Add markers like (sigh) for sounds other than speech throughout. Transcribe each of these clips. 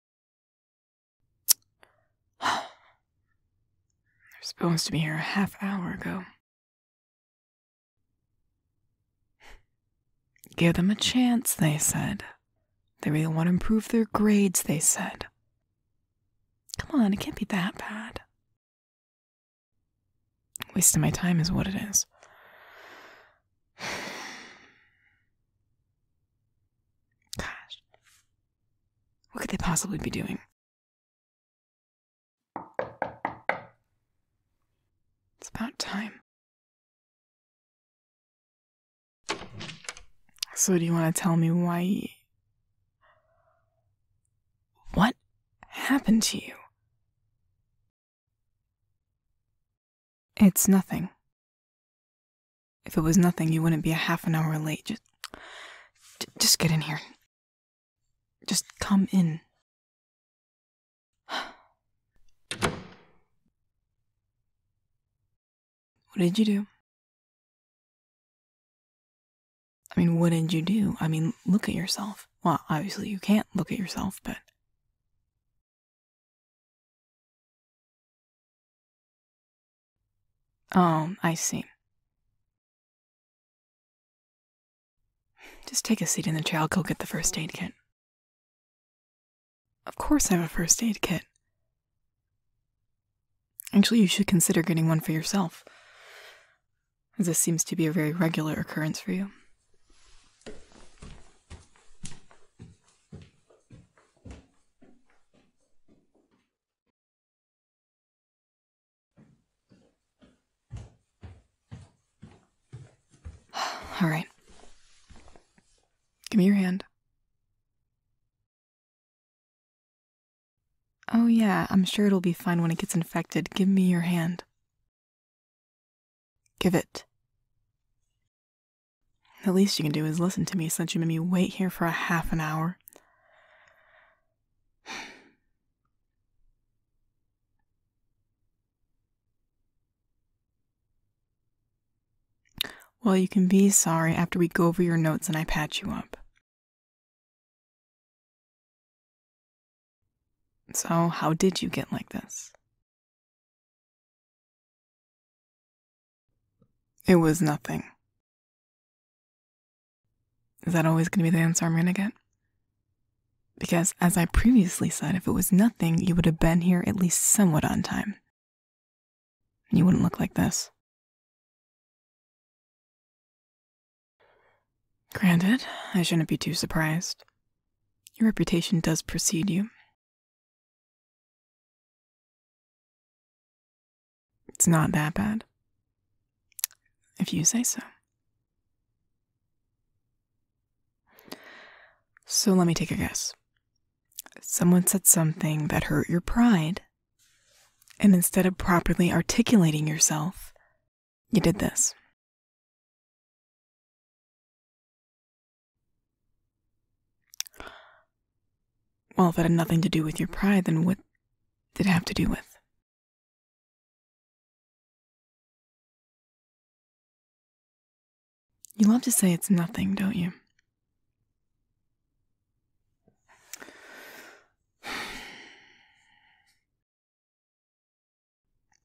(sighs) They're supposed to be here a half hour ago. Give them a chance, they said. They really want to improve their grades, they said. Come on, it can't be that bad. Wasting my time is what it is. (sighs) (sighs) Gosh. What could they possibly be doing? It's about time. So, do you want to tell me why? What happened to you? It's nothing. If it was nothing, you wouldn't be a half an hour late. Just, just get in here. Just come in. What did you do? I mean, what did you do? I mean, look at yourself. Well, obviously you can't look at yourself, but Oh, I see. Just take a seat in the chair. child go get the first aid kit. Of course I have a first aid kit. Actually, you should consider getting one for yourself, as this seems to be a very regular occurrence for you. All right. Give me your hand. Oh, yeah, I'm sure it'll be fine when it gets infected. Give me your hand. Give it. The least you can do is listen to me since you made me wait here for a half an hour. Well, you can be sorry after we go over your notes and I patch you up. So, how did you get like this? It was nothing. Is that always going to be the answer I'm going to get? Because, as I previously said, if it was nothing, you would have been here at least somewhat on time. you wouldn't look like this. Granted, I shouldn't be too surprised. Your reputation does precede you, it's not that bad. If you say so. So let me take a guess. Someone said something that hurt your pride, and instead of properly articulating yourself, you did this. Well, if it had nothing to do with your pride, then what did it have to do with? You love to say it's nothing, don't you? (sighs)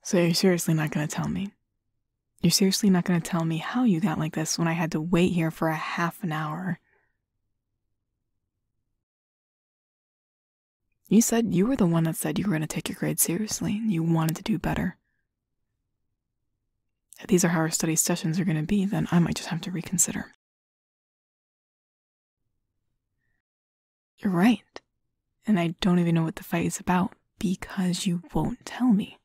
So you're seriously not going to tell me? You're seriously not going to tell me how you got like this when I had to wait here for a half an hour. You said you were the one that said you were going to take your grade seriously and you wanted to do better. If these are how our study sessions are going to be, then I might just have to reconsider. You're right. And I don't even know what the fight is about because you won't tell me.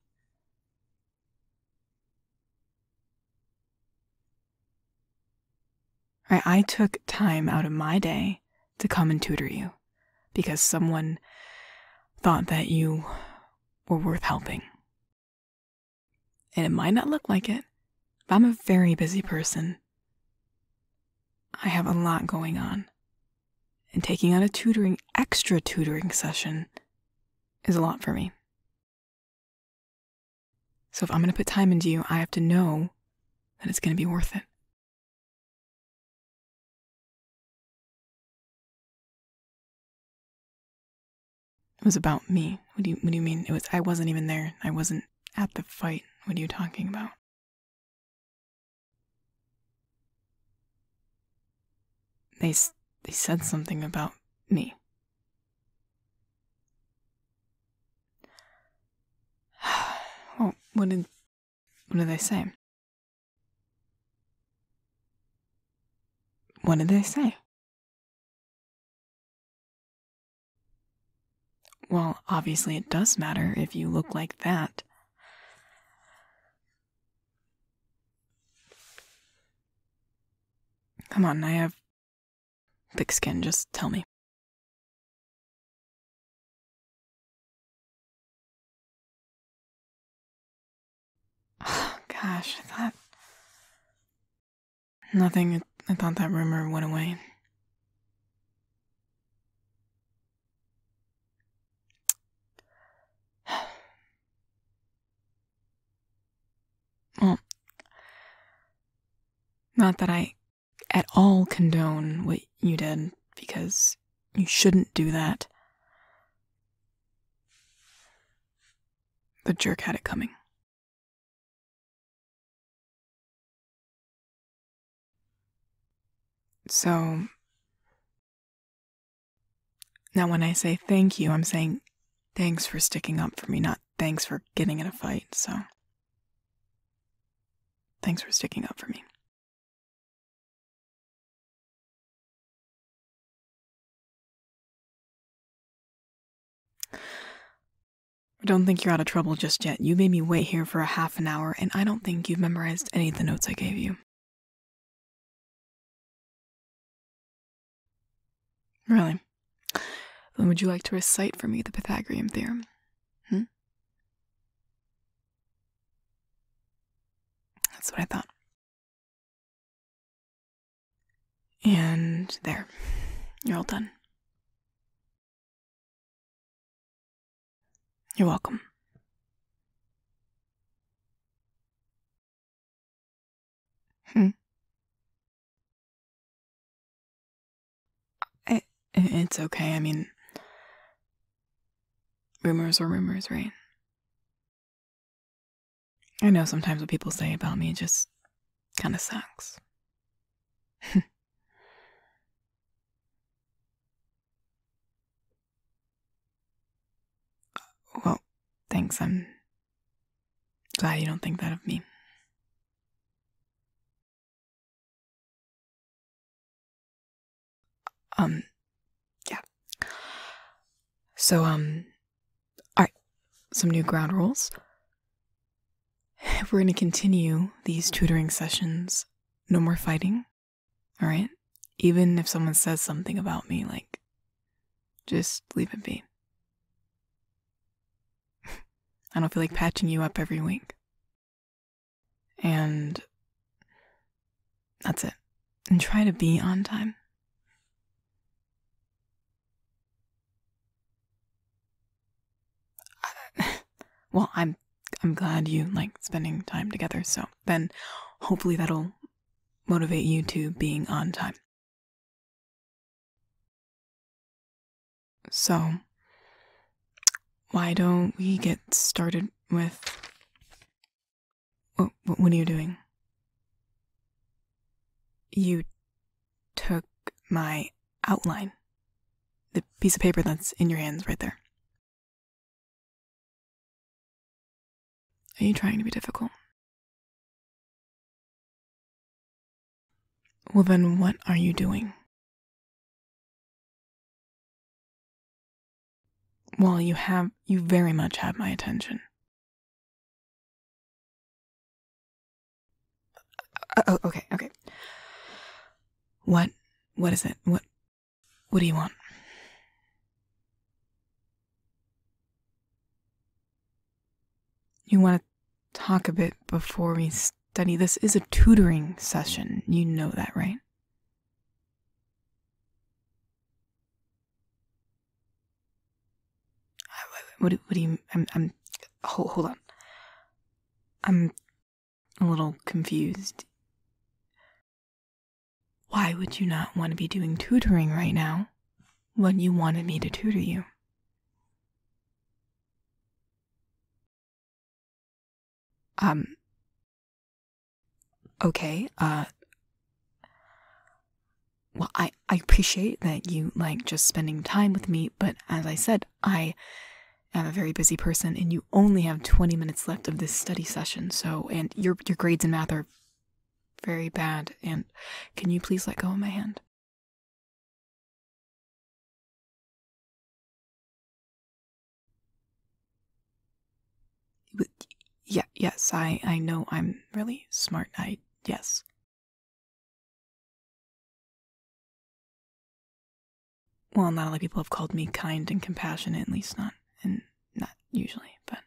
I took time out of my day to come and tutor you because someone thought that you were worth helping. And it might not look like it, I'm a very busy person. I have a lot going on. And taking on a tutoring, extra tutoring session is a lot for me. So if I'm going to put time into you, I have to know that it's going to be worth it. It was about me. What do you what do you mean? It was I wasn't even there. I wasn't at the fight. What are you talking about? They, they said something about me. (sighs) well, what did, what did they say? What did they say? Well, obviously it does matter if you look like that. Come on, I have thick skin, just tell me. (sighs) gosh, I thought. Nothing, I thought that rumor went away. (sighs) (sighs) Well, Not that I at all condone what you did, because you shouldn't do that. The jerk had it coming. So, now, when I say thank you, I'm saying thanks for sticking up for me, not thanks for getting in a fight. So, thanks for sticking up for me. don't think you're out of trouble just yet. You made me wait here for a half an hour, and I don't think you've memorized any of the notes I gave you. Really? Then would you like to recite for me the Pythagorean theorem? Hmm? That's what I thought. And there. You're all done. You're welcome. Hmm. it's okay. I mean, rumors are rumors, right? I know sometimes what people say about me just kind of sucks. (laughs) Well, thanks. I'm glad you don't think that of me. Um, yeah. So, um, alright, some new ground rules. If we're going to continue these tutoring sessions, no more fighting, alright? Even if someone says something about me, like, just leave it be. (laughs) I don't feel like mm-hmm. patching you up every week. And that's it. And try to be on time. (laughs) well, I'm I'm glad you like spending time together. So then hopefully that'll motivate you to being on time. So, why don't we get started with what, what are you doing? You took my outline. The piece of paper that's in your hands right there. Are you trying to be difficult? Well, then what are you doing? Well, you have, you very much have my attention. Uh, oh, okay, okay. What, what is it? What, what do you want? You want to talk a bit before we study? This is a tutoring session. You know that, right? What, do you. I'm. hold on. I'm a little confused. Why would you not want to be doing tutoring right now when you wanted me to tutor you? Um, okay, uh, well, I, I appreciate that you like just spending time with me, but as I said, I am a very busy person and you only have 20 minutes left of this study session, so, and your, your grades in math are very bad. And can you please let go of my hand? Yeah, yes, I, I know I'm really smart. I, yes. Well, not a lot people have called me kind and compassionate, at least not in not usually, but.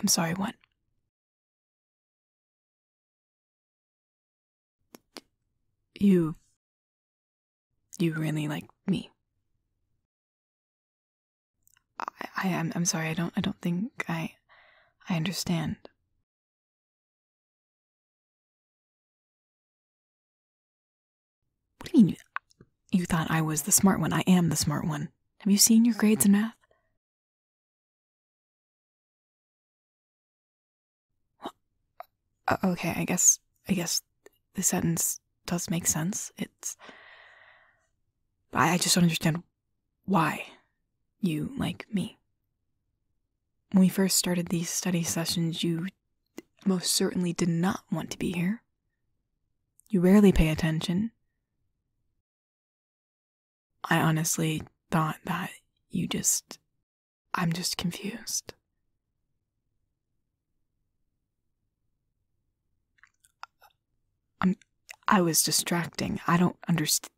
I'm sorry, what? You. You really like me. I, I am I'm, I'm sorry, I don't I don't think I I understand. What do you mean you thought I was the smart one? I am the smart one. Have you seen your grades in math? Uh, okay, I guess I guess the sentence does make sense. It's I, just don't understand why you like me. When we first started these study sessions, you most certainly did not want to be here. You rarely pay attention. I honestly thought that you just. I'm just confused. I'm. I was distracting. I don't understand.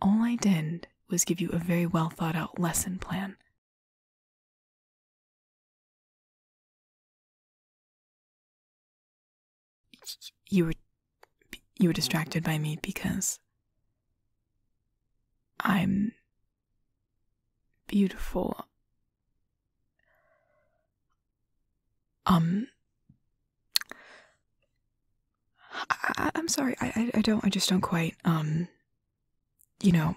All I did was give you a very well thought out lesson plan. You were you were distracted by me because I'm beautiful. Um I, am sorry. I, I don't I just don't quite um you know.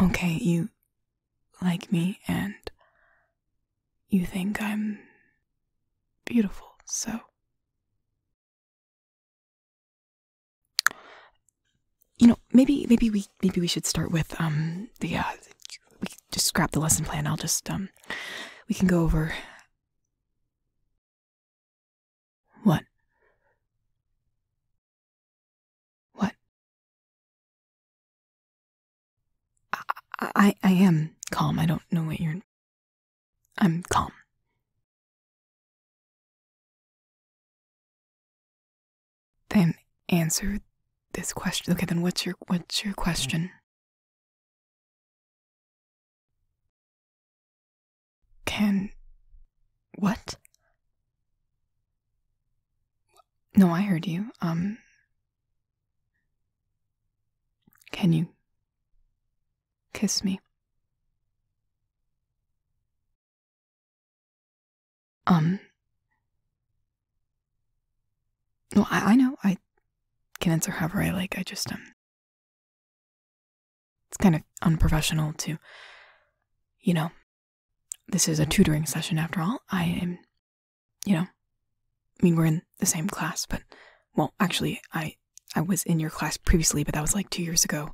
Okay, you like me and you think I'm beautiful, so. You know, maybe maybe we maybe we should start with um the uh we just scrap the lesson plan. I'll just um we can go over what? What? I, I, am calm. I don't know what you're. I'm calm. Then answer this question. Okay, then what's your what's your question? Can. What? No, I heard you. Um. Can you kiss me? Um. No, I, I know. I can answer however I like. I just um it's kind of unprofessional to you know this is a mm-hmm. tutoring session after all. I am you know I mean we're in the same class, but well actually I I was in your class previously, but that was like two years ago.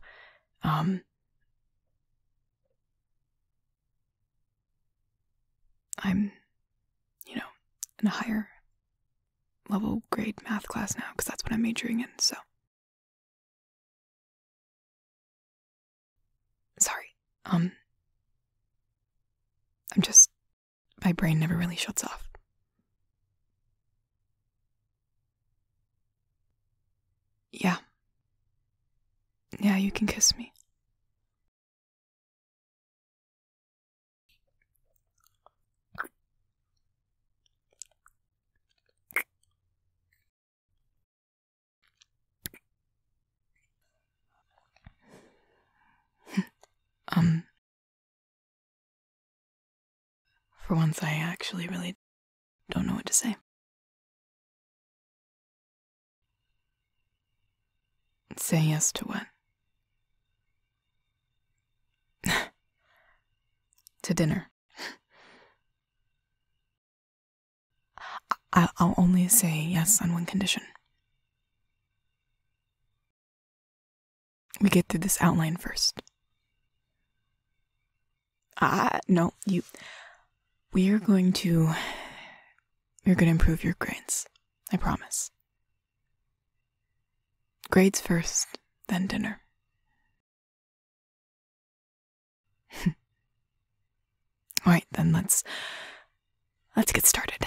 Um I'm you know in a higher level grade math class now because that's what I'm majoring in, so. Sorry. Um I'm just my brain never really shuts off. Yeah. Yeah, you can kiss me um, for once, I actually really don't know what to say. Say yes to what? (laughs) to dinner. I will only say yes on one condition. We get through this outline first. Ah, no, you. We are going to. You're going to improve your grades. I promise. Grades first, then dinner. (laughs) All right, then let's let's get started.